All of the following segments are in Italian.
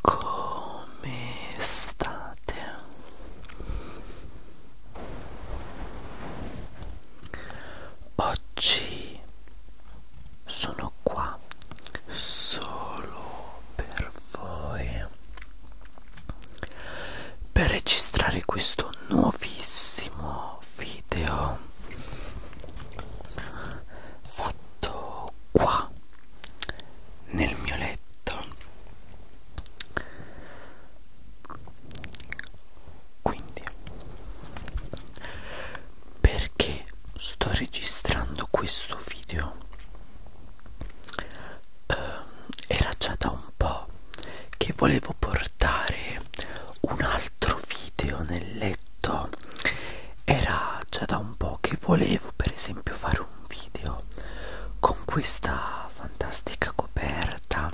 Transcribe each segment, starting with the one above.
Come state? Oggi sono qua solo per voi per registrare questo nuovissimo video fatto qua nel mio letto quindi perché sto registrando questo video eh, era già da un po' che volevo portare un altro video nel letto era già da un po' che volevo per esempio fare un video con questa fantastica coperta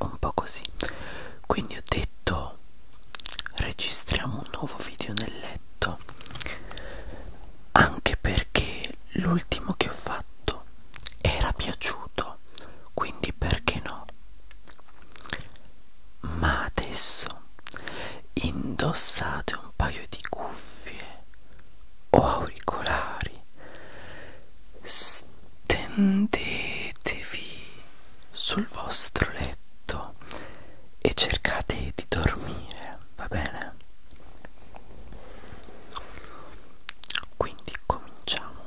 un po' così quindi ho detto registriamo un nuovo video nel letto anche perché l'ultimo che ho fatto era piaciuto quindi perché no ma adesso indossate un paio di cuffie o auricolari stendetevi sul vostro letto e cercate di dormire va bene quindi cominciamo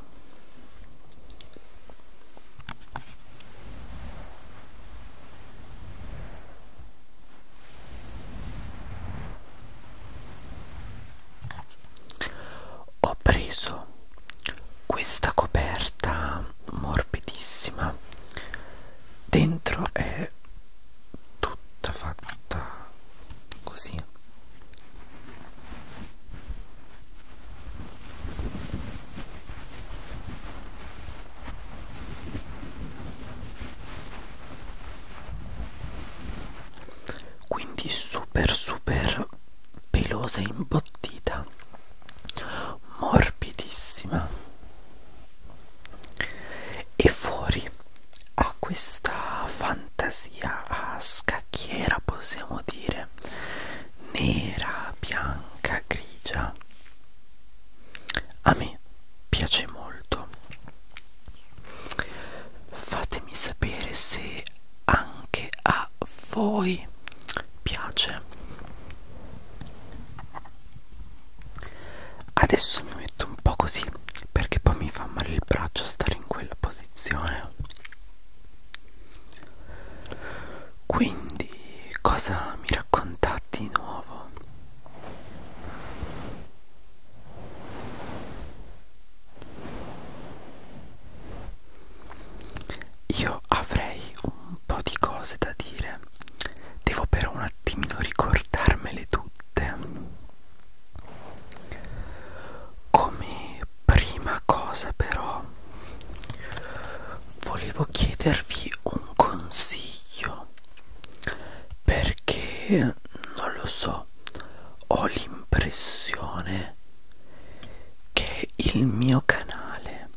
ho preso questa coperta morbidissima, dentro è tutta fatta così quindi super super pelosa e imbottita morbidissima e fuori ha questa fantasia a scacchiera possiamo dire nera, bianca, grigia. A me piace molto. Fatemi sapere se anche a voi piace. Adesso mi metto un po' così perché poi mi fa male il braccio stare in quella posizione. Quindi cosa mi raccontate di nuovo? Io avrei un po' di cose da dire, devo però un attimino ricordarmele tutte. Come prima cosa però volevo chiedervi un consiglio perché non lo so ho l'impressione che il mio canale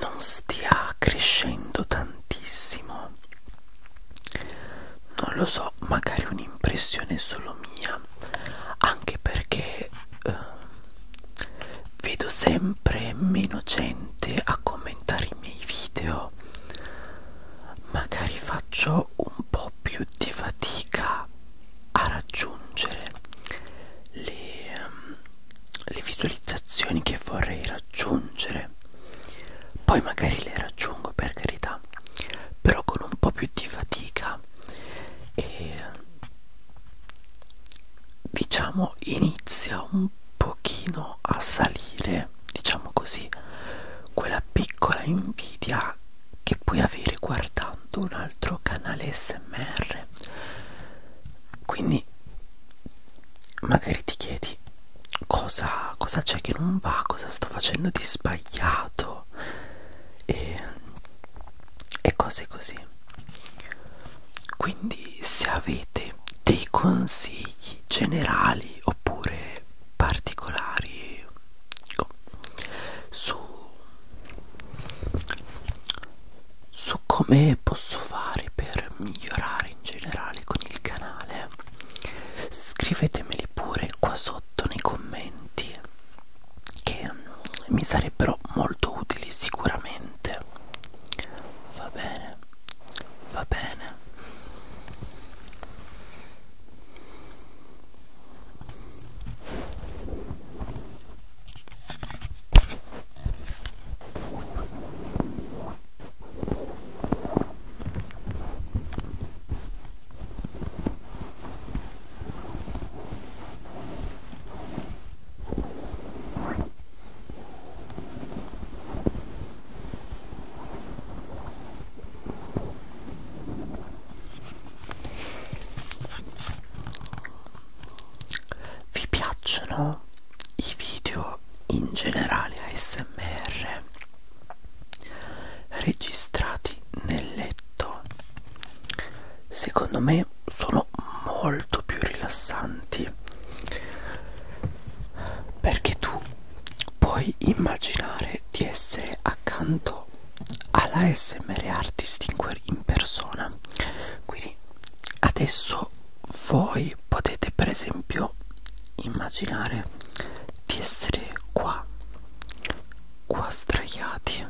non stia crescendo tantissimo non lo so magari un'impressione solo mia anche perché eh, vedo sempre meno gente a commentare i miei video magari faccio un po' più di fatica a raggiungere le, um, le visualizzazioni che vorrei raggiungere poi magari le raggiungo per carità però con un po' più di fatica e diciamo inizia un pochino a salire diciamo così quella piccola invidia che puoi avere guardando un altro canale smr quindi magari ti chiedi cosa c'è cosa che non va cosa sto facendo di sbagliato e e cose così quindi se avete dei consigli generali oppure particolari ecco, su su come posso fare per migliorare in generale con il canale scrivetemeli pure qua sotto nei commenti che mi sarebbero molto utili sicuramente va bene va bene vi piacciono i video in generale ASMR registrati nel letto secondo me sono molto più rilassanti perché tu puoi immaginare di essere accanto alla SMR Artist in persona quindi adesso voi potete per esempio immaginare di essere qua qua sdraiati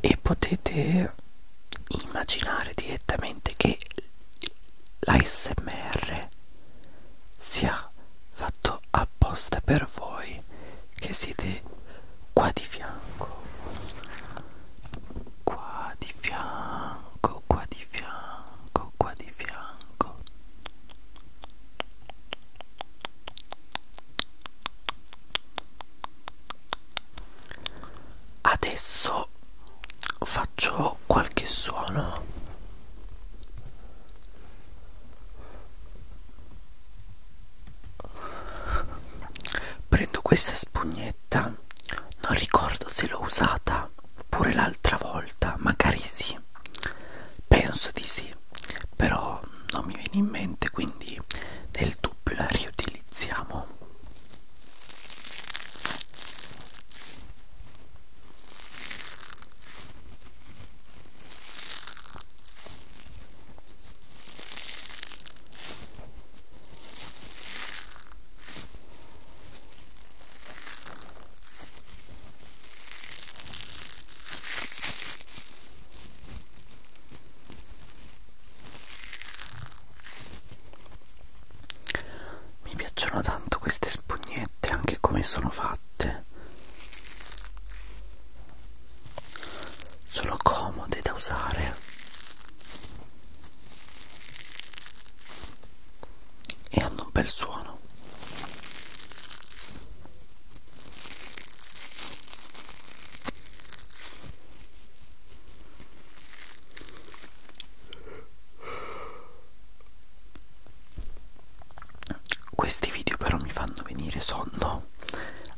e potete immaginare direttamente che l'ASMR sia fatto apposta per voi che siete qua di fianco qua di fianco qua di fianco qua di fianco Adesso faccio qualche suono prendo questa spugnetta non ricordo se l'ho usata pure l'altra volta magari sì penso di sì però non mi viene in mente quindi nel dubbio la riutilizziamo mi piacciono tanto queste spugnette, anche come sono fatte. Sono comode da usare e hanno un bel suono. Questi video però mi fanno venire sonno,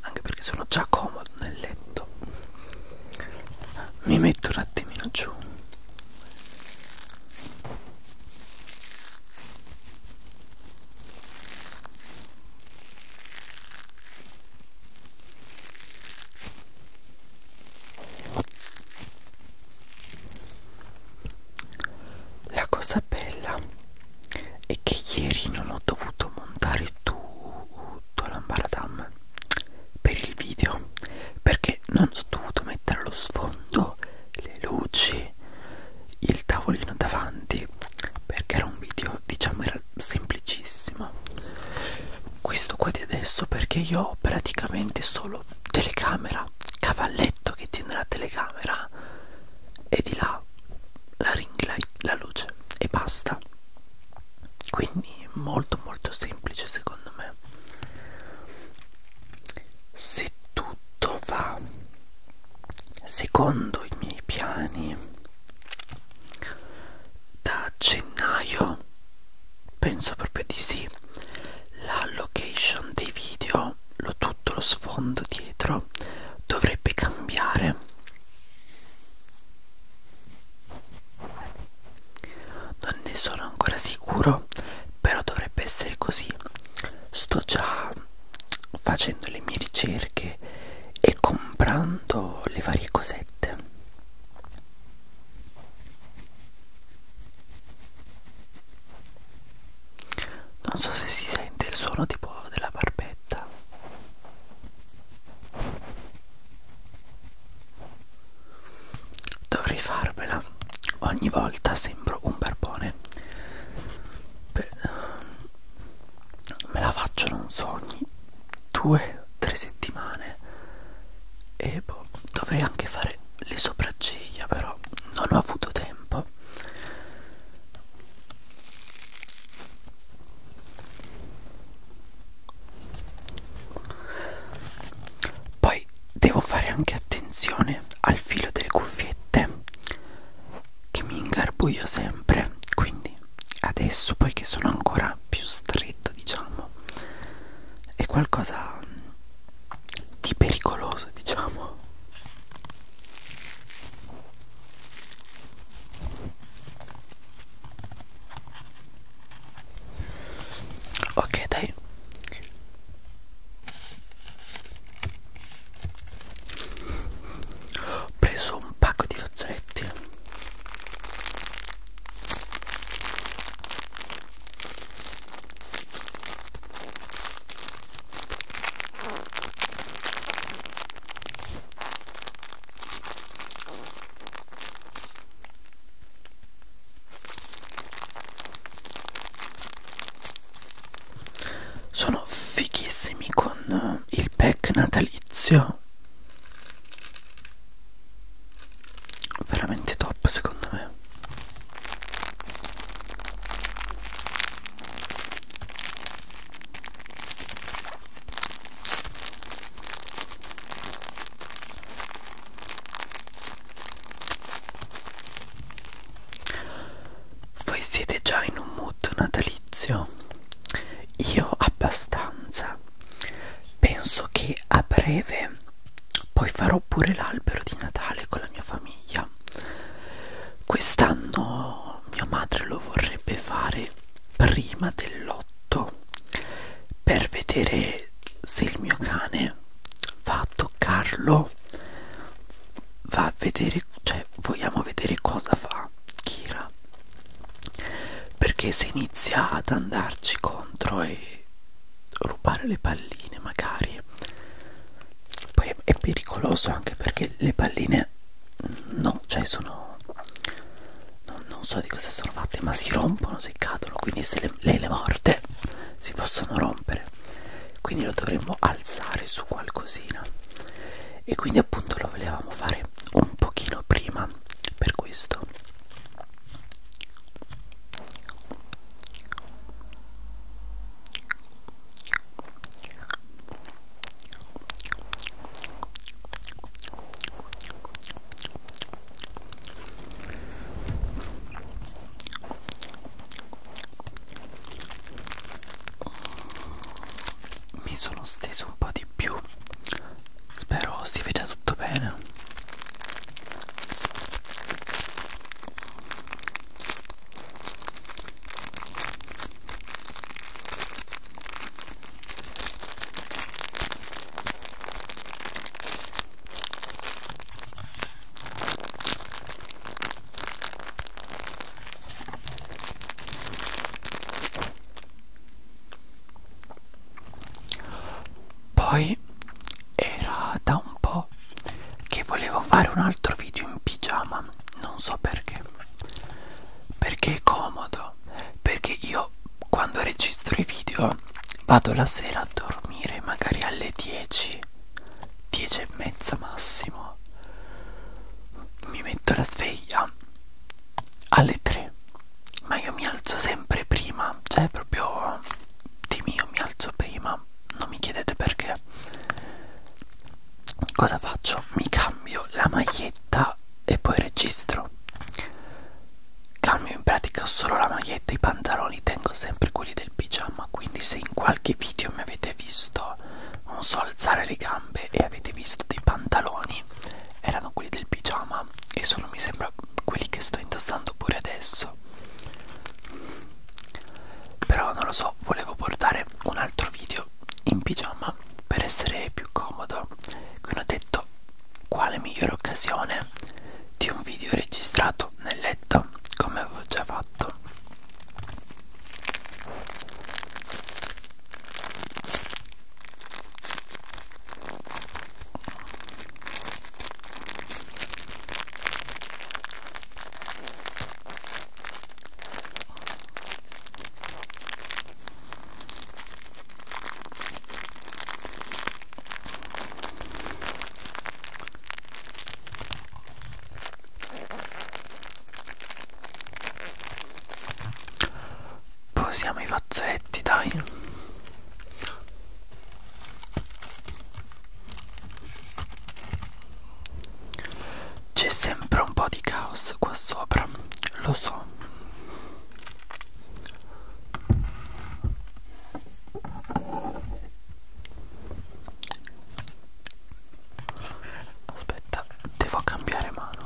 anche perché sono già comodo nel letto. Mi metto un attimino giù. La cosa bella è che ieri non ho dovuto montare tutto l'ambaradam per il video perché non ho dovuto mettere lo sfondo, le luci, il tavolino davanti perché era un video diciamo era semplicissimo questo qua di adesso perché io ho praticamente solo telecamera cavalletto che tiene la telecamera e di là la ring light la luce e basta quindi molto molto semplice secondo me se tutto va secondo i miei piani da gennaio penso proprio di sì la location dei video lo tutto lo sfondo dietro dovrebbe cambiare non ne sono ancora sicuro però dovrebbe essere così sto già facendo le mie ricerche e comprando le varie cosette non so se si sente il suono tipo della barbetta dovrei farmela ogni volta sembro un barbone Beh, me la faccio non so ogni due o tre settimane e boh, dovrei anche fare le sopracciglia però non ho avuto tempo poi devo fare anche attenzione al filo delle cuffiette che mi ingarbuglio sempre quindi adesso poiché sono ancora più stretto diciamo è qualcosa di pericoloso diciamo ok dai ho preso un pacco di fazzoletti sono fighissimi con eh, il pack natalizio veramente top secondo me voi siete già in un mood natalizio? Io abbastanza. Penso che a breve poi farò pure l'albero di Natale con la mia famiglia. Quest'anno mia madre lo vorrebbe fare prima dell'8 per vedere se il mio cane va a toccarlo va a vedere cioè vogliamo vedere cosa fa Kira perché se inizia ad andarci contro e rubare le palline magari poi è pericoloso anche perché le palline no cioè sono non, non so di cosa sono fatte ma si rompono se cadono quindi se le, lei le morde si possono rompere quindi lo dovremmo alzare su qualcosina e quindi appunto lo volevamo fare un pochino prima per questo mi sono steso un po' di più spero si veda tutto bene poi era da un po' che volevo fare un altro video in pigiama, non so perché. Perché è comodo, perché io quando registro i video vado la sera a dormire magari alle 10 10 e mezza massimo mi metto la sveglia alle 3 ma io mi alzo sempre prima cioè proprio di mio mi alzo prima non mi chiedete perché cosa faccio mi cambio la maglietta e poi registro cambio in pratica solo la maglietta e i pantaloni tengo sempre quelli del pigiama insomma quindi se in qualche video mi avete visto non so alzare le gambe e avete visto dei pantaloni erano quelli del pigiama e sono mi sembra quelli che sto indossando pure adesso però non lo so volevo portare un altro video in pigiama per essere più comodo quindi ho detto quale migliore occasione di un video registrato nel letto come avevo già fatto Posiamo i fazzoletti, dai. C'è sempre un po' di caos qua sopra, lo so aspetta devo cambiare mano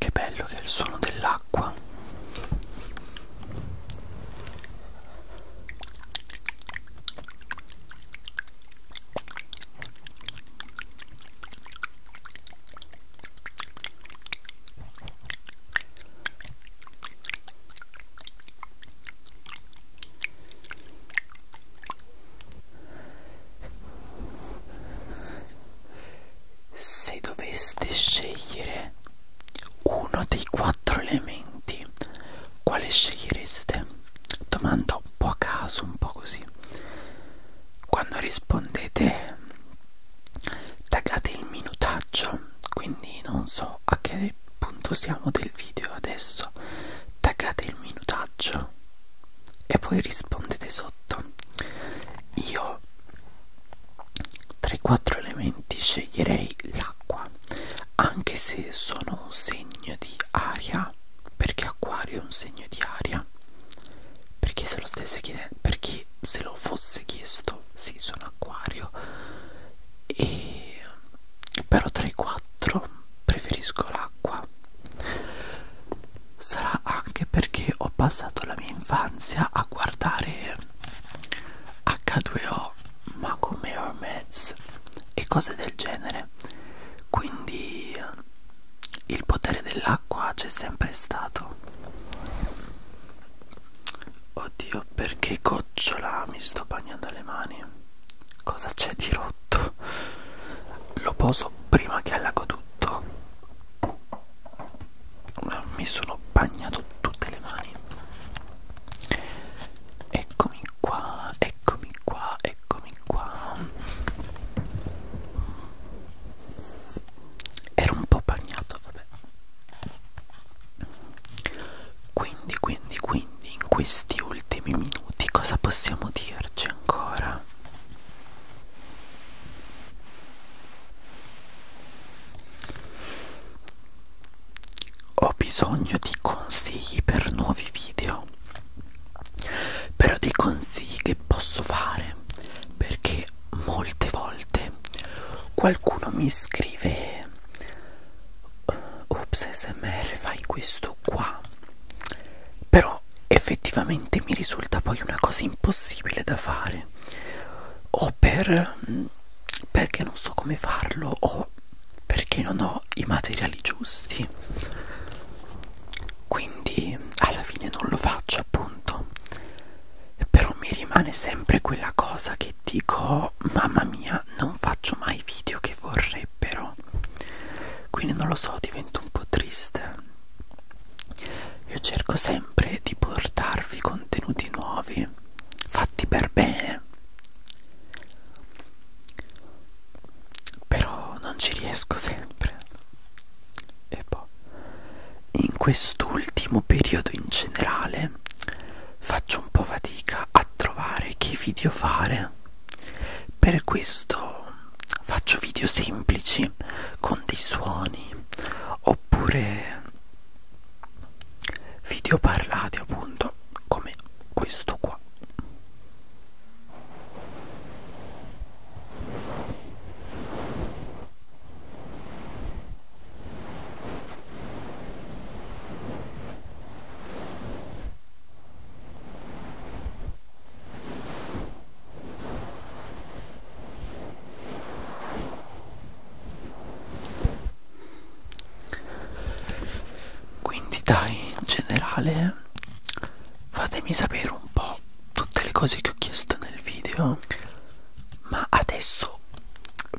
Che bello che è il suono dell'acqua acqua se doveste scegliere uno dei quattro elementi, quale scegliereste? Domanda un po' a caso, un po' così. Quando rispondete taggate il minutaggio, quindi non so a che punto siamo del video adesso, taggate il minutaggio e poi rispondete sotto. Io tra i quattro elementi sceglierei l'acqua, anche se sono un segno di aria, perché acquario è un segno di aria. Perché se lo stesse chiedendo, perché se lo fosse chiesto, sì, sono acquario. E però tra i quattro preferisco l'acqua. Sarà realtà anche perché ho passato la mia infanzia a guardare H2O, Macomer Meds e cose del genere. Quindi il potere dell'acqua c'è sempre stato. Oddio, perché gocciola mi sto bagnando le mani? Cosa c'è di rotto? Lo poso prima che allago tutto mi sono bagnato tutte le mani eccomi qua eccomi qua eccomi qua ero un po' bagnato vabbè quindi quindi quindi in questi ultimi minuti cosa possiamo dirci ancora ho bisogno di consigli per nuovi video, però di consigli che posso fare perché molte volte qualcuno mi scrive eh, Ups smr fai questo qua però effettivamente mi risulta poi una cosa impossibile da fare piacere o per perché non so come farlo o perché non ho i materiali giusti quindi alla fine non lo faccio appunto però mi rimane sempre quella cosa che dico mamma mia non faccio mai video che vorrebbero quindi non lo so divento un po' triste io cerco sempre di portarvi contenuti nuovi, fatti per bene. Però non ci riesco sempre. E poi, in quest'ultimo periodo in generale, faccio un po' fatica a trovare che video fare. Per questo faccio video semplici suoni con dei suoni oppure video parlati appunto come questo qua quindi dai, in generale, fatemi sapere un po' tutte le cose che ho chiesto nel video, ma adesso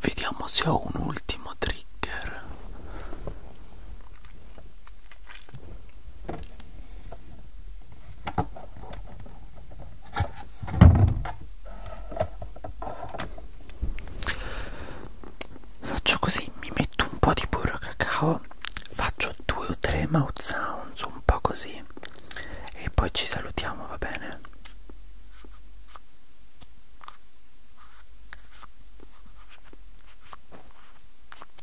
vediamo se ho un ultimo trigger. Faccio così, mi metto un po' di burro cacao, faccio due o tre mouth sounds, un po' così, e poi ci salutiamo, va bene?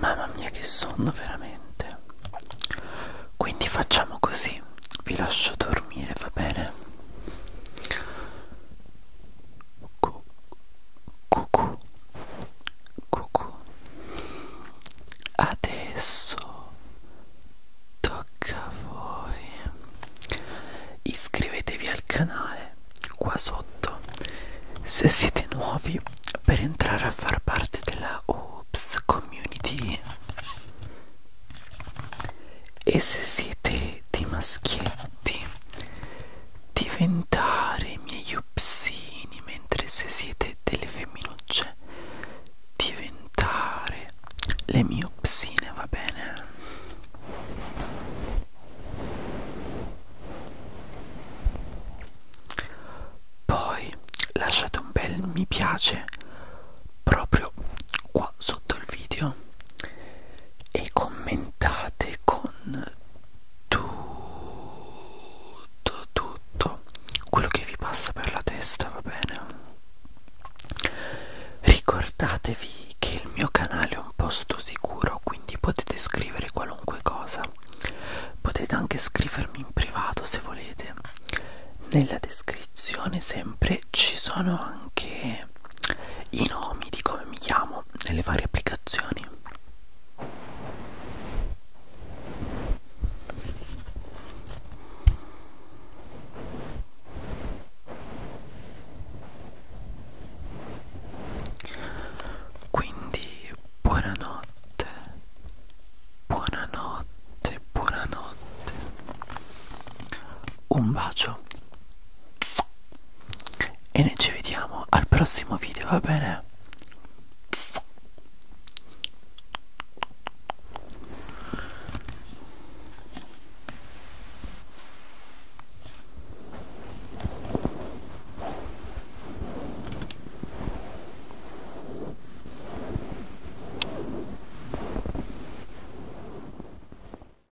Mamma mia che sonno veramente. Quindi facciamo così. Vi lascio dormire, va bene? cucù cucù adesso tocca a voi iscrivetevi al canale qua sotto se siete nuovi per entrare a far parte della Oops community e se siete di maschietti amanti diventare miei upsini mentre se siete delle femminucce diventare le mie upsine va bene poi lasciate un bel mi piace proprio qua sotto il video e commentate e con tutto tutto quello che vi passa per la testa va bene ricordatevi che il mio canale è un posto sicuro quindi potete scrivere qualunque cosa potete anche scrivermi in privato se volete nella descrizione sempre ci sono anche vedere i nomi di come mi chiamo nelle varie applicazioni quindi buonanotte buonanotte buonanotte un bacio e noi ci vediamo al prossimo video va bene